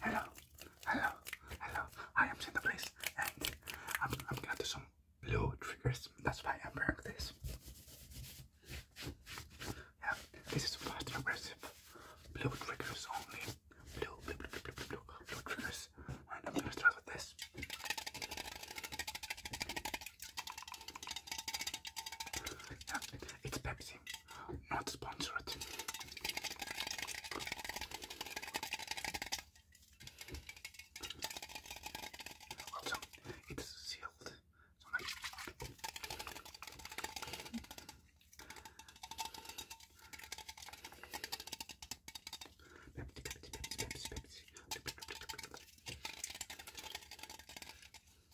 Hello, hello, hello. I am Cinder Place and I'm, I'm gonna do some blue triggers. That's why I'm wearing this. Yeah, this is fast and aggressive. Blue triggers only. Blue, blue, blue, blue, blue, blue, blue triggers. And I'm gonna start with this. Yeah, it's Pepsi, not sponsored. Also, it's sealed. Pepsi, Pepsi, Pepsi, Pepsi, Pepsi.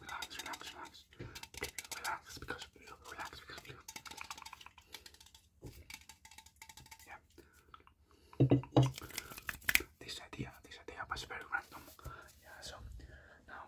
Relax, relax, relax. Relax because relax because blue. Yeah. This idea, this idea was very random. Yeah, so now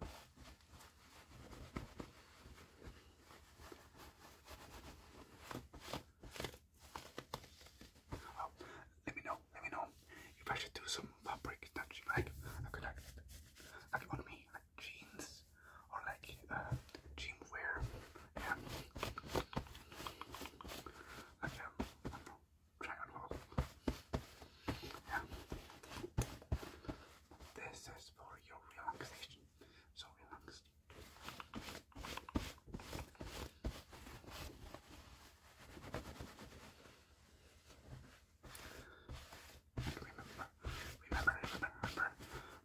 Well, oh, let me know, let me know if I should do some fabric touch like I could like like on me like jeans or like uh, gym wear yeah. like um, try on all yeah this is for your relaxation. So relax. remember, remember, remember, remember.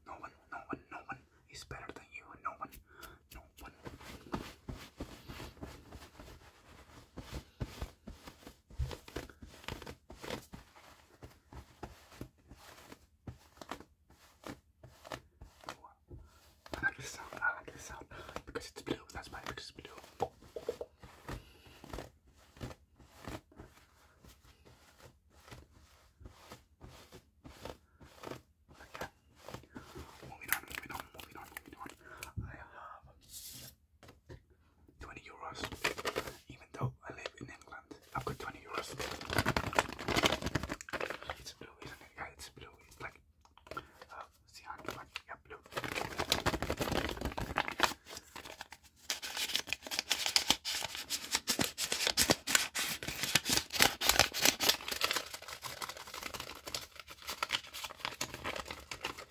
No one, no one, no one is better than you. No one, no one. I like this sound, I like this sound because it's blue, that's why because it's blue. Okay. Moving on, moving on, moving on, moving on. I have 20 euros. Even though I live in England, I've got 20 euros. It's blue, Yeah, it's blue. like, cyan, uh, but yeah, blue.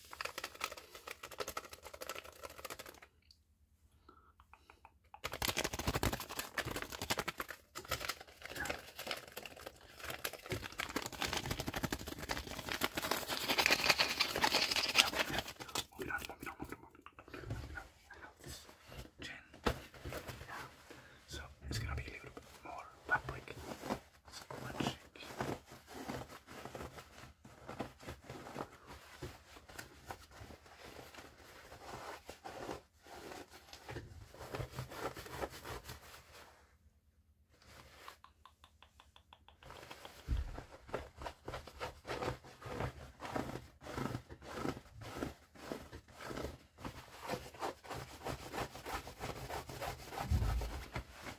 Moving on, moving on, moving on, moving on. I love this gin. Yeah. So it's gonna be a little bit more public. One shake.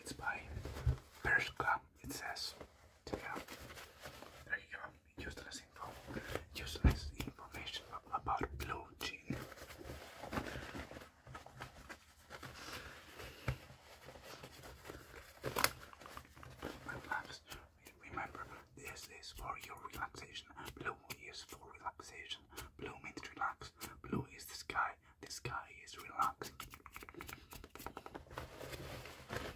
It's by Perška it says, check it out. There you go. Useless info. Useless information about blue jean. Remember, this is for your relaxation. Blue is for relaxation. Blue means relax. Blue is the sky. The sky is relaxed.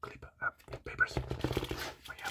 clip papers. Oh, yeah.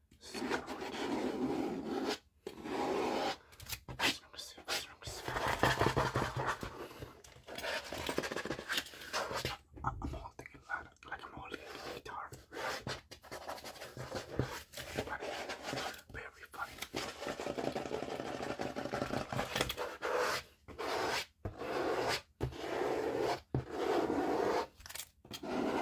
I'm holding it like, like I'm holding a guitar. Very funny. Very funny.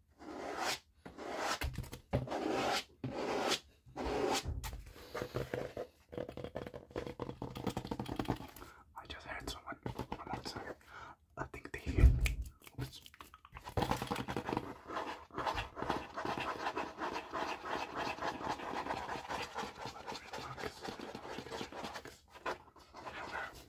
I just heard someone from outside. I think they hear me. Oops. Relax. Relax. Hello.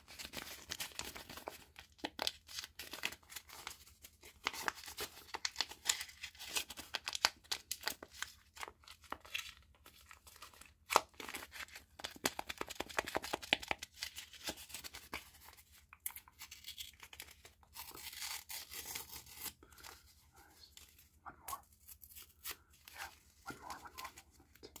Nice. One more. Yeah, one more, one more moment.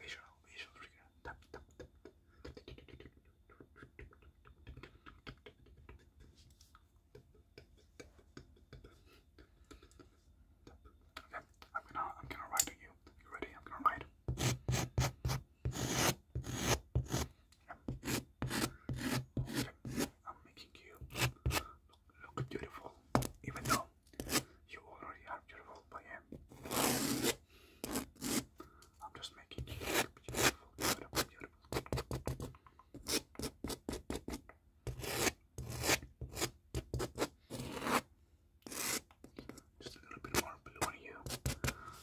visual, visual trigger. Tap, tap, tap. Okay, I'm gonna, I'm gonna write to you. You ready? I'm gonna write. I'm making you look beautiful, even though you already are beautiful by I'm just making you beautiful, beautiful, beautiful. Just a little bit more blue on you.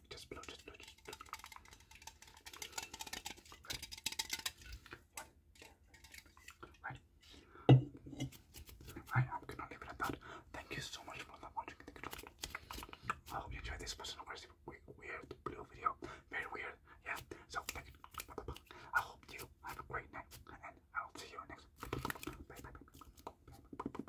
I'm gonna leave it at that. Thank you so much for watching. I hope you enjoyed this person aggressive weird blue video. Very weird. Yeah. So I hope you have a great night and I'll see you next. bye. bye.